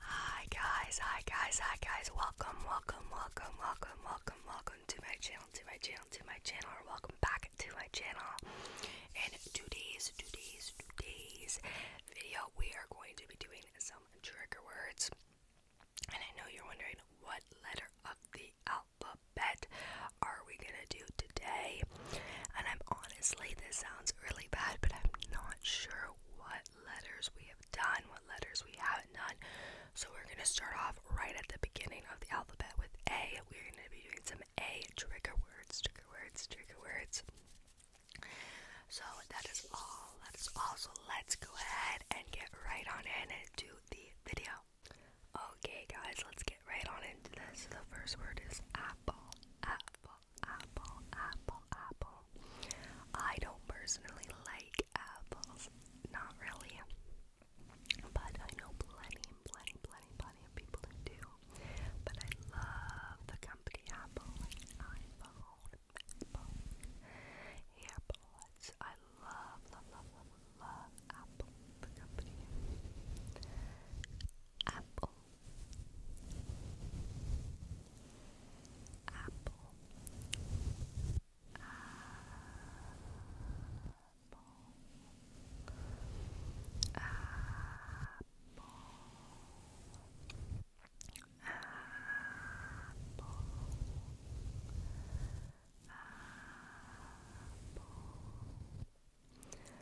Hi guys, hi guys, hi guys. Welcome, welcome, welcome, welcome, welcome, welcome to my channel, to my channel, to my channel, or welcome back to my channel. In today's, today's, today's video, we are going to be doing some trigger words. And I know you're wondering what letter of the alphabet are we gonna do today? And I'm honestly, this sounds really bad, but I'm not sure what letters we have done, what letters we have done. So we're going to start off right at the beginning of the alphabet with A. We're going to be doing some A trigger words, trigger words, trigger words. So that is all. That is all. So let's go ahead and get right on in to the video. Okay, guys, let's get right on into this. The first word is apple. Apple apple, apple, apple. I don't personally like apples, not really. But I know plenty, plenty, plenty, plenty of people who do. But I love the company Apple, iPhone, Apple, AirPods. I love, love, love, love Apple, the company apple apple apple apple apple Apple,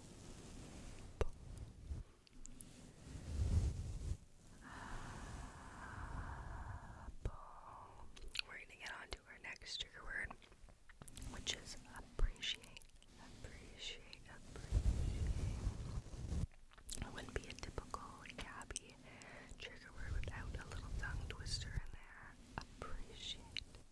We're gonna get on to our next trigger word, which is appreciate. Appreciate, appreciate. It wouldn't be a typical gabby trigger word without a little tongue twister in there. Appreciate,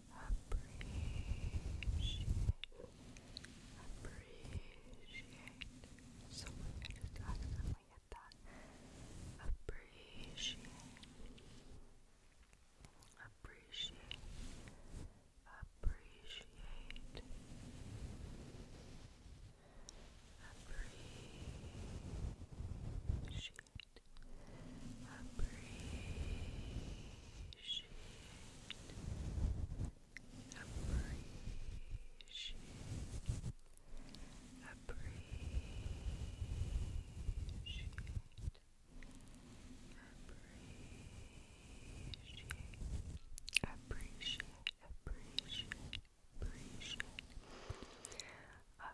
appreciate, appreciate. So I just accidentally hit that. Appreciate, appreciate, appreciate, appreciate appreciate, appreciate, appreciate,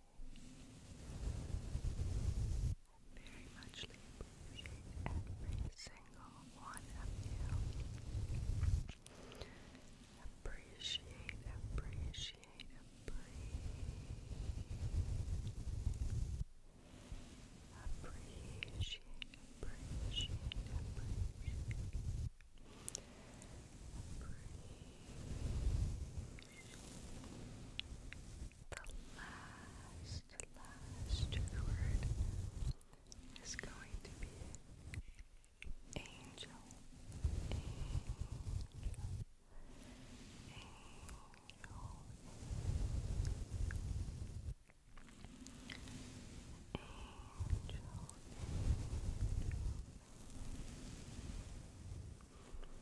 very much appreciate every single one of you. Appreciate, appreciate, appreciate, appreciate, appreciate, appreciate. Appreciate, the last, last word is going to be angel, angel, angel,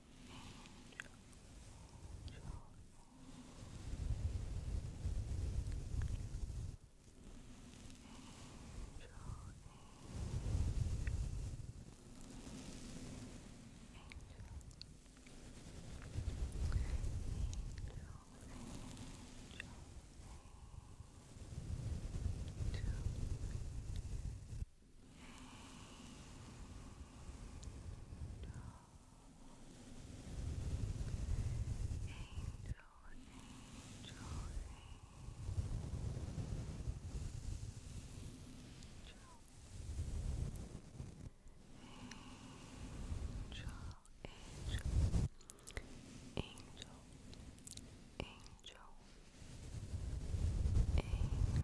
angel, angel,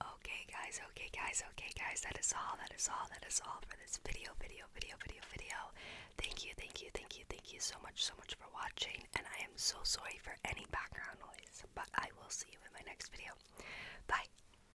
Okay guys, okay guys, okay guys, that is all, that is all, that is all for this video, video, video, video, video. Thank you, thank you, thank you, thank you so much, so much for watching, and I am so sorry for any background noise, but I will see you in my next video. Bye!